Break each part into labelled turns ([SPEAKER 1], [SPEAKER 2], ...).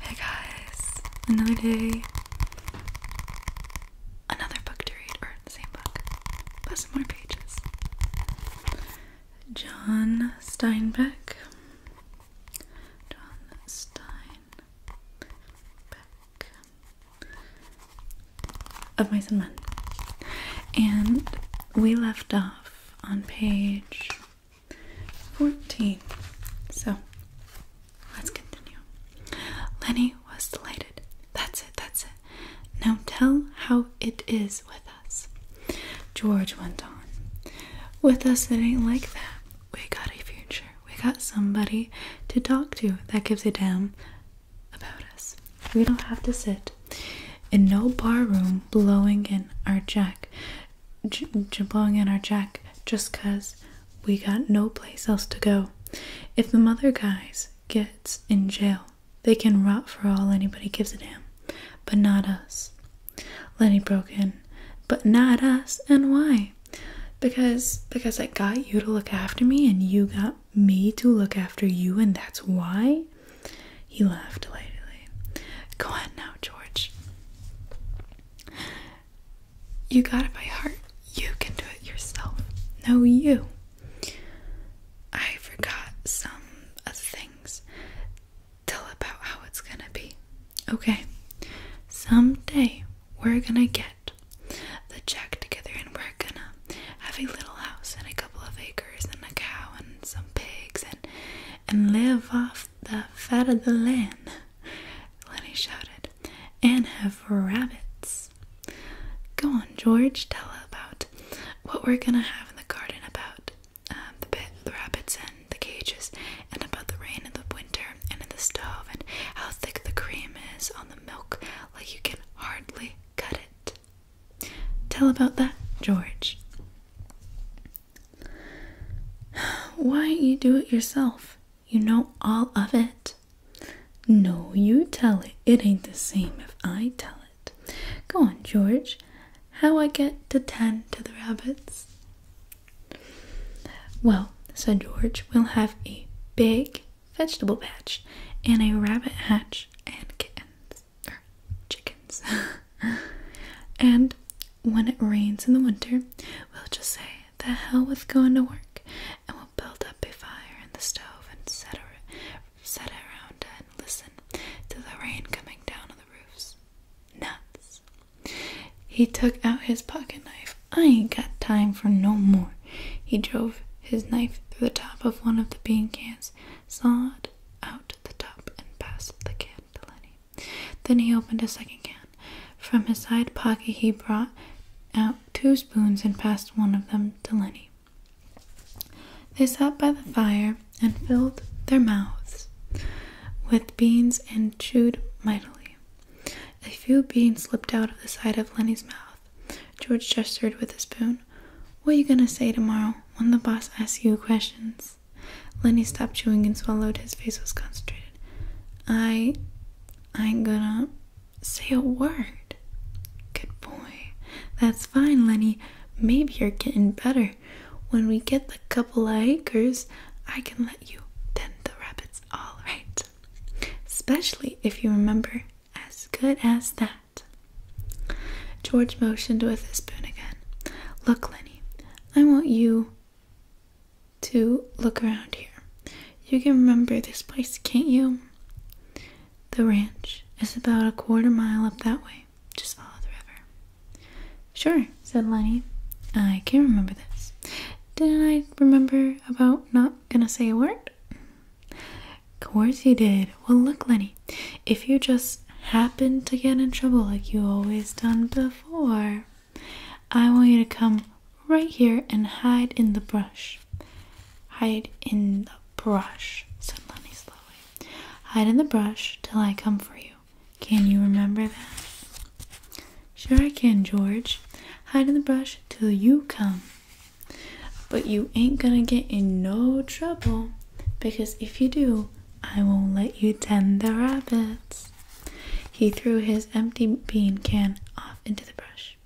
[SPEAKER 1] Hey guys, another day, another book to read, or the same book, but more pages. John Steinbeck. John Steinbeck. Of Mice and Men. And we left off on page 14. So let's continue. Lenny was delighted. That's it, that's it. Now tell how it is with us. George went on. With us, it ain't like that. We got a future. We got somebody to talk to that gives a damn about us. We don't have to sit in no bar room blowing in our jack j j blowing in our jack just cause we got no place else to go. If the mother guys gets in jail, they can rot for all anybody gives a damn, but not us. Lenny broke in, but not us. And why? Because because I got you to look after me, and you got me to look after you, and that's why. He laughed delightedly. Go on now, George. You got it by heart. You can do it yourself. No, you. I forgot some of things. Tell about how it's gonna be. Okay. Someday we're gonna get the check together and we're gonna have a little house and a couple of acres and a cow and some pigs and and live off the fat of the land, Lenny shouted, and have rabbits. Go on, George, tell about what we're gonna have in the garden about um, the, bit, the rabbits and the cages, and about the rain in the winter and in the stove, and how thick the cream is on the milk, like you can hardly cut it. Tell about that, George. Why you do it yourself? You know all of it. No, you tell it. It ain't the same if I tell it. Go on, George. How I get to tend to the rabbits? Well, said George, we'll have a big vegetable patch and a rabbit hatch and kittens chickens and when it rains in the winter, we'll just say the hell with going to work and we'll build up a fire in the stove and set ar around and listen to the rain coming down on the roofs. Nuts. He took out his pocket knife. I ain't got time for no more. He drove his knife through the top of one of the bean cans sawed out the top, and passed the can to Lenny. Then he opened a second can. From his side pocket, he brought out two spoons and passed one of them to Lenny. They sat by the fire and filled their mouths with beans and chewed mightily. A few beans slipped out of the side of Lenny's mouth. George gestured with a spoon. What are you gonna say tomorrow when the boss asks you questions? Lenny stopped chewing and swallowed. His face was concentrated. I. I ain't gonna say a word. Good boy. That's fine, Lenny. Maybe you're getting better. When we get the couple of acres, I can let you tend the rabbits all right. Especially if you remember as good as that. George motioned with his spoon again. Look, Lenny, I want you to look around here. You can remember this place, can't you? The ranch is about a quarter mile up that way. Just follow the river. Sure, said Lenny. I can remember this. Didn't I remember about not gonna say a word? Of course you did. Well, look, Lenny, if you just happen to get in trouble like you always done before, I want you to come right here and hide in the brush. Hide in the brush, said Lenny slowly. Hide in the brush till I come for you. Can you remember that? Sure, I can, George. Hide in the brush till you come. But you ain't gonna get in no trouble because if you do, I won't let you tend the rabbits. He threw his empty bean can off into the brush.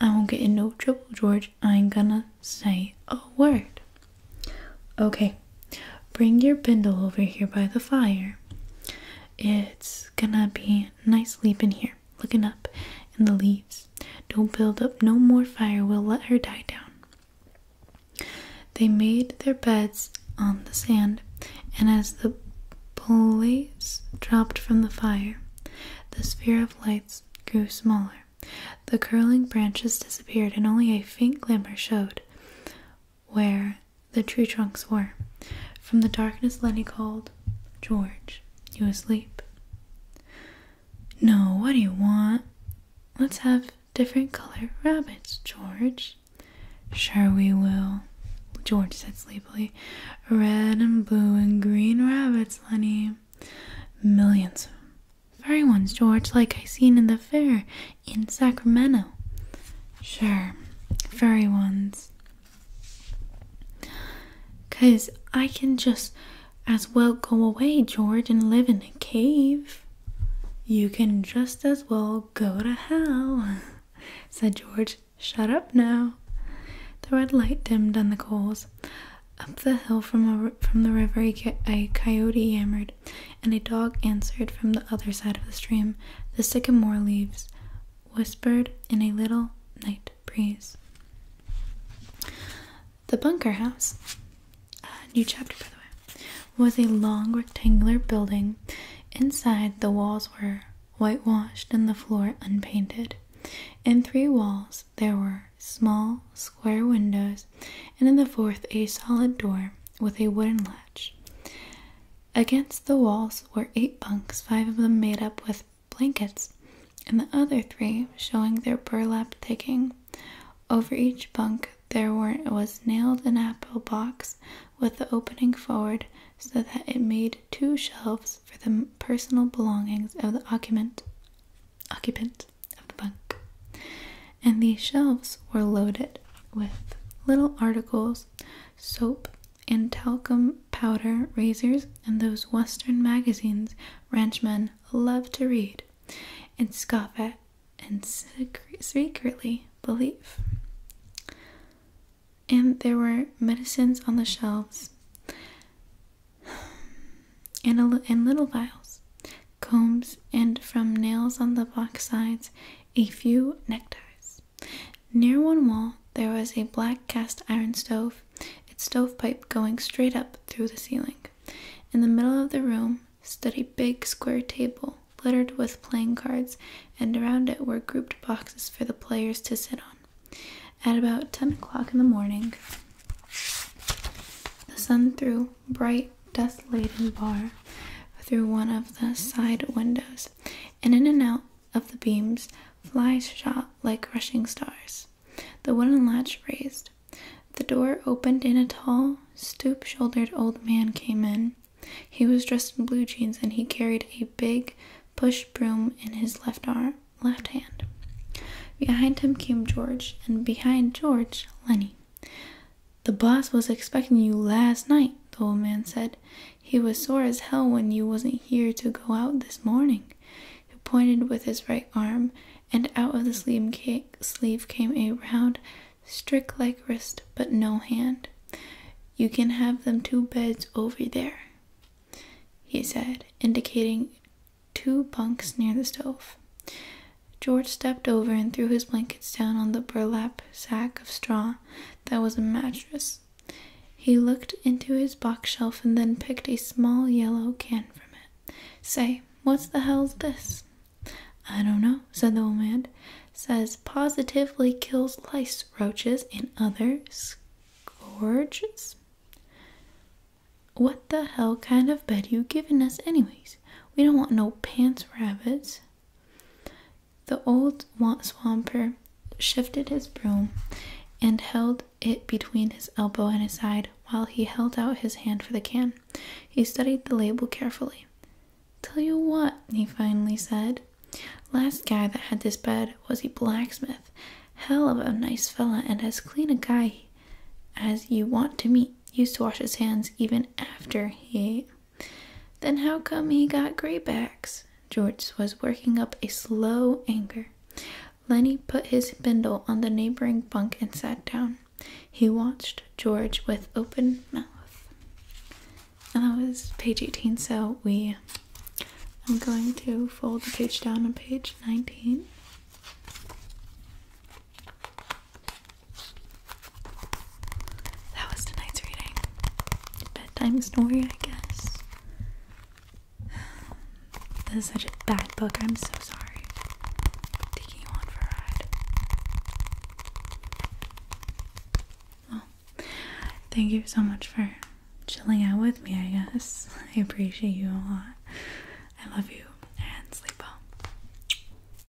[SPEAKER 1] I won't get in no trouble, George. I ain't gonna say a word. Okay, bring your bindle over here by the fire. It's gonna be nice sleep in here looking up in the leaves. Don't build up no more fire, we'll let her die down. They made their beds on the sand, and as the blaze dropped from the fire, the sphere of lights grew smaller. The curling branches disappeared, and only a faint glimmer showed where the tree trunks were. From the darkness, Lenny called George, you asleep? No, what do you want? Let's have different color rabbits, George. Sure, we will, George said sleepily. Red and blue and green rabbits, Lenny. Millions of Furry ones, George, like I seen in the fair in Sacramento. Sure, furry ones. Because I can just as well go away, George, and live in a cave. You can just as well go to hell, said George. Shut up now. The red light dimmed on the coals. Up the hill from, the river, a coyote yammered, and a dog answered from the other side of the stream. The sycamore leaves whispered in a little night breeze. The bunker house, a new chapter by the way, was a long rectangular building. Inside, the walls were whitewashed and the floor unpainted. In three walls, there were small square windows, and in the fourth, a solid door with a wooden latch. Against the walls were eight bunks, five of them made up with blankets, and the other three showing their burlap picking. Over each bunk there was nailed an apple box with the opening forward so that it made two shelves for the personal belongings of the occupant occupant of the bunk. And these shelves were loaded with little articles, soap, and talcum powder razors and those western magazines ranchmen love to read and scoff at and secretly believe. And there were medicines on the shelves and, and little vials, combs, and from nails on the box sides, a few neckties. Near one wall there was a black cast iron stove, its stovepipe going straight up through the ceiling. In the middle of the room stood a big square table littered with playing cards, and around it were grouped boxes for the players to sit on. At about ten o'clock in the morning, the sun threw bright, dust laden bar through one of the side windows, and in and out of the beams, flies shot like rushing stars. The wooden latch raised. The door opened and a tall, stoop shouldered old man came in. He was dressed in blue jeans and he carried a big push broom in his left arm left hand. Behind him came George, and behind George, Lenny. The boss was expecting you last night, the old man said. He was sore as hell when you wasn't here to go out this morning. He pointed with his right arm, and out of the sleeve, came a round, stick like wrist, but no hand. You can have them two beds over there, he said, indicating two bunks near the stove. George stepped over and threw his blankets down on the burlap sack of straw that was a mattress. He looked into his box shelf and then picked a small yellow can from it. Say, what's the hell's this? I don't know, said the old man. Says positively kills lice, roaches, and others. Gorgeous. What the hell kind of bed you giving us anyways? We don't want no pants rabbits. The old swamper shifted his broom and held it between his elbow and his side while he held out his hand for the can. He studied the label carefully. Tell you what, he finally said. Last guy that had this bed was a blacksmith. Hell of a nice fella and as clean a guy as you want to meet. Used to wash his hands even after he then how come he got gray backs? George was working up a slow anger. Lenny put his spindle on the neighboring bunk and sat down. He watched George with open mouth. And that was page 18, so we. I'm going to fold the page down on page 19. That was tonight's reading. Bedtime story, I guess. This is such a bad book. I'm so sorry. taking you on for a ride. Well, thank you so much for chilling out with me, I guess. I appreciate you a lot. I love you and sleep well.